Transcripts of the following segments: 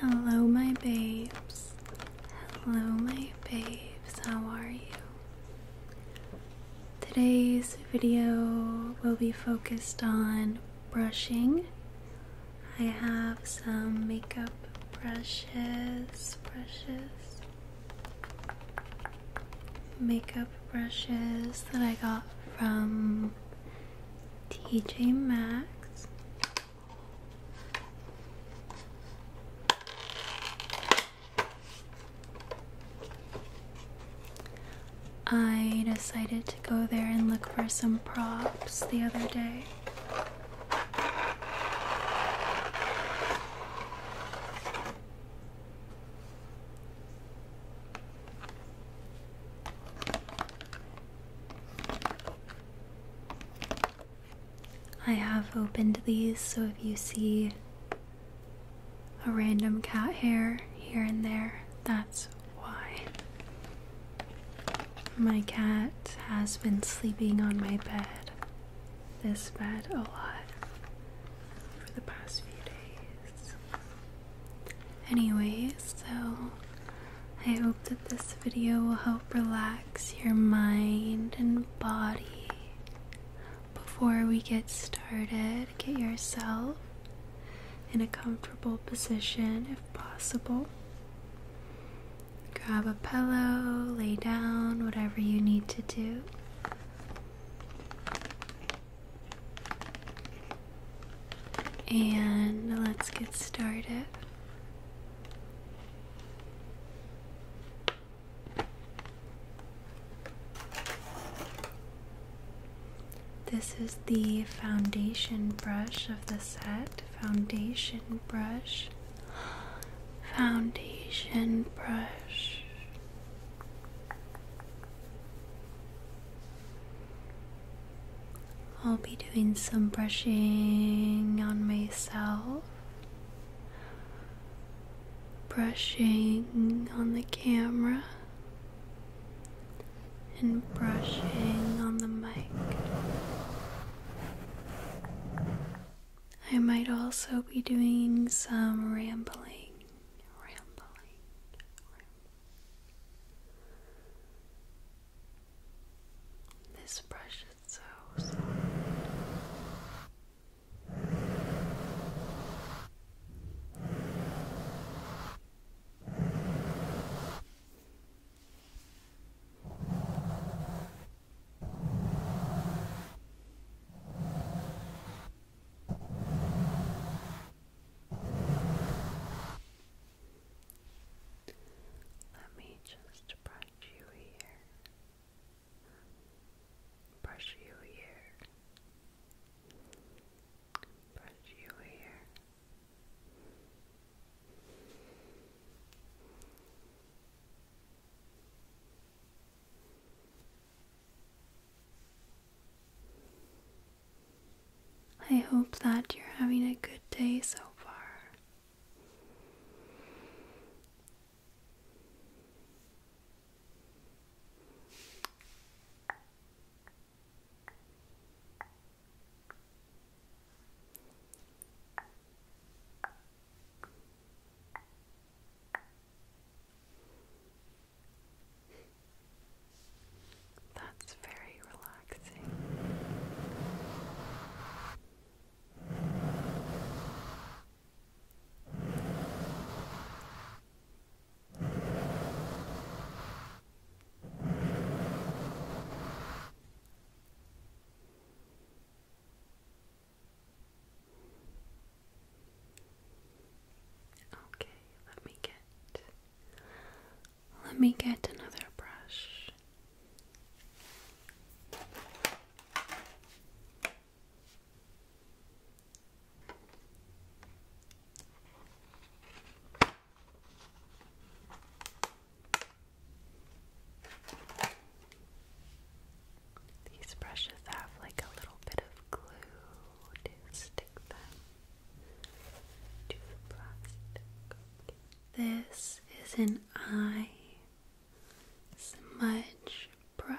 Hello, my babes. Hello, my babes. How are you? Today's video will be focused on brushing. I have some makeup brushes, brushes, makeup brushes that I got from TJ Maxx. I decided to go there and look for some props the other day. I have opened these, so if you see a random cat hair here and there, that's why. My cat has been sleeping on my bed, this bed, a lot for the past few days. Anyway, so I hope that this video will help relax your mind and body. Before we get started, get yourself in a comfortable position if possible. Grab a pillow, lay down, whatever you need to do. And let's get started. This is the foundation brush of the set. Foundation brush. Foundation brush. I'll be doing some brushing on myself, brushing on the camera, and brushing on the mic. I might also be doing some rambling, rambling, this brush is so soft. Let me just brush you here. Brush you here. Brush you here. I hope that you're having a good day so far. That's very relaxing. Okay, let me get let me get another brush. These brushes have like a little bit of glue to stick them to the plastic. This is an eye smudge brush.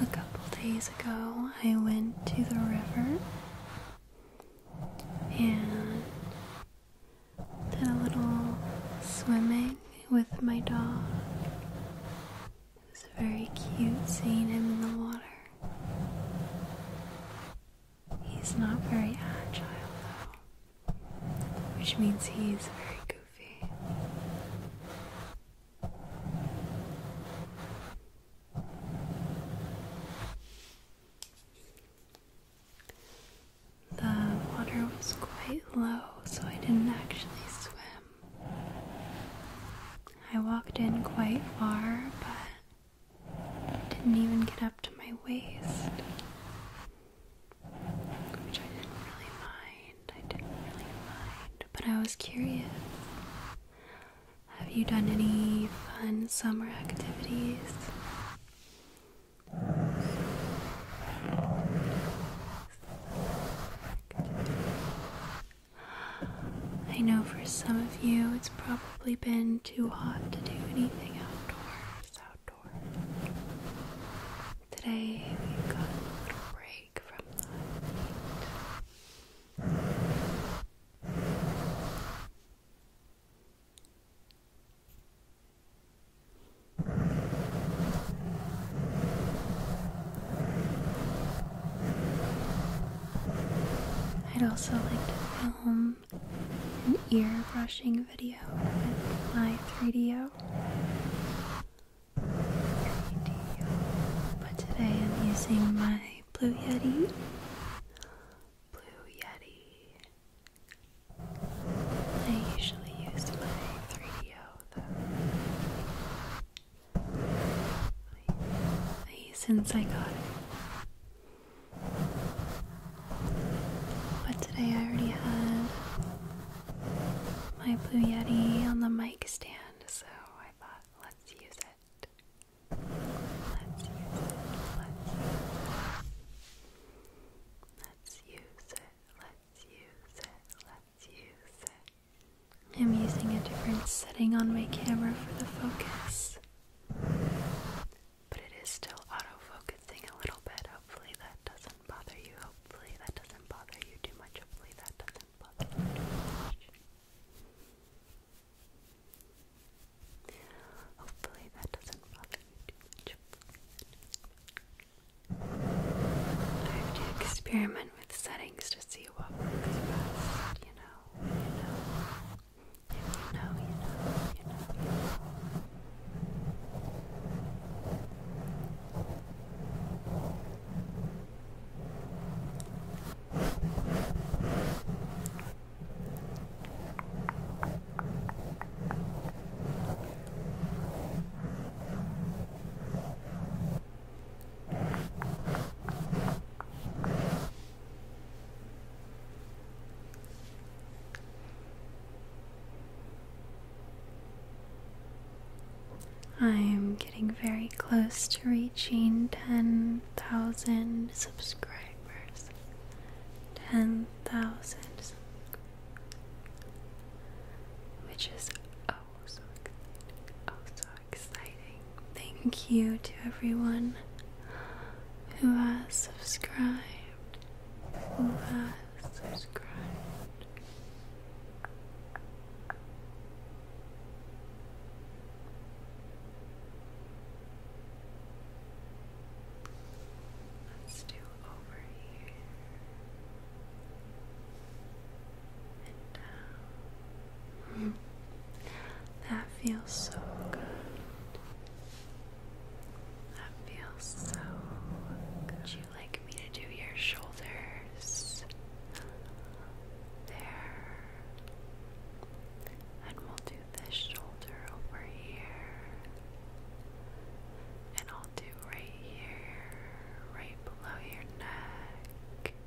A couple days ago, I went to the river and did a little swimming with my dog. It was very cute seeing him in the water. He's not very agile though, which means he's very goofy. The water was quite low, so I didn't actually swim. I walked in quite far, but didn't even get up to my waist, which I didn't really mind. I didn't really mind, but I was curious. Have you done any fun summer activities? I know for some of you it's probably been too hot to do anything outdoors. Today we got a little break from that. Heat. I'd also like to film an ear brushing video with my 3DO. But today I'm using my Blue Yeti. Blue Yeti. I usually use my 3DO though since I got it. But today I already had my Blue Yeti on the mic stand, so I thought Let's use it. Let's use it. Let's use it. Let's use it. Let's use it. Let's use it. I'm using a different setting on my camera for the focus. But it is still autofocusing a little bit. Hopefully that doesn't bother you. Hopefully that doesn't bother you too much. Hopefully that doesn't bother you too much. Hopefully that doesn't bother you too much. I have to experiment with settings to see what works best, you know know, you know. If you know, you know, you know, you know. I'm getting very close to reaching 10,000 subscribers. 10,000 Which is oh so exciting. Oh so exciting. Thank you to everyone who has subscribed. Who has subscribed. Let's do over here. Uh, that feels so good. That feels so Would you like me to do your shoulders? There. And we'll do this shoulder over here. And I'll do right here, right below your neck.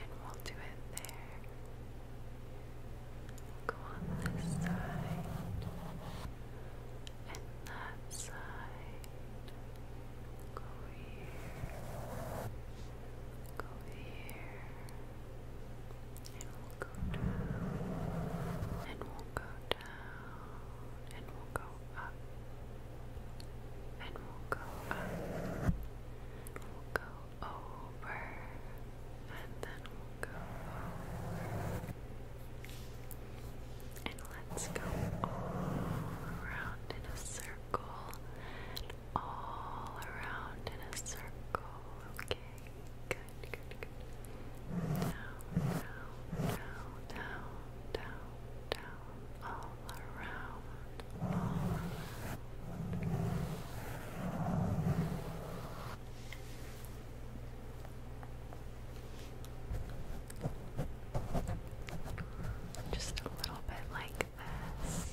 and we'll do it there. go on this side and that side. Go here. Go here. And we'll go down. And we'll go down. And we'll go up and we'll go up, we'll go over, and then we'll go over, and let's go all around in a circle, all around in a circle, okay, good, good, good. Down, down, down, down, down, down, all around, Just a little bit like this.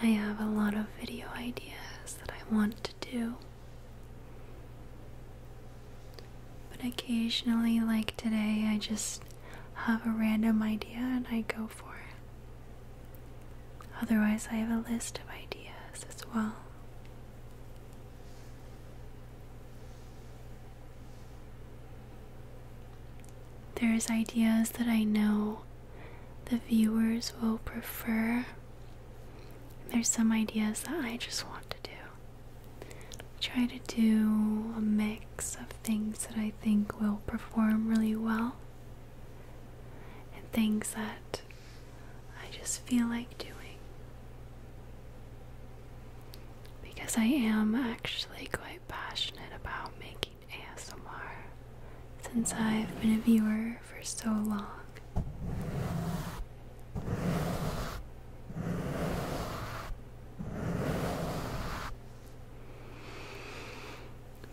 I have a lot of video ideas that I want to do, but occasionally, like today, I just have a random idea and I go for it. Otherwise, I have a list of ideas as well. There's ideas that I know the viewers will prefer. There's some ideas that I just want to do. Try to do a mix of things that I think will perform really well and things that I just feel like doing. Because I am actually quite passionate about making ASMR since I've been a viewer for so long.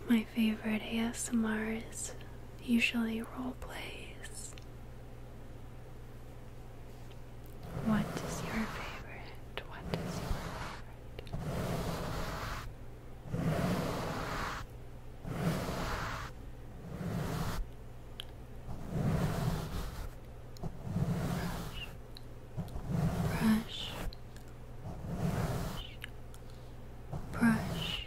My favorite ASMR is usually role plays. What is your favorite? What is your favorite? Brush, brush, brush, brush,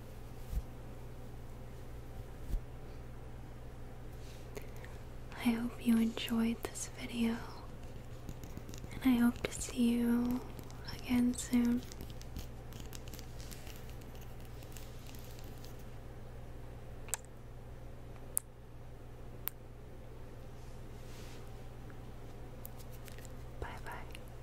I hope you enjoyed this video, and I hope to see you again soon. Bye bye.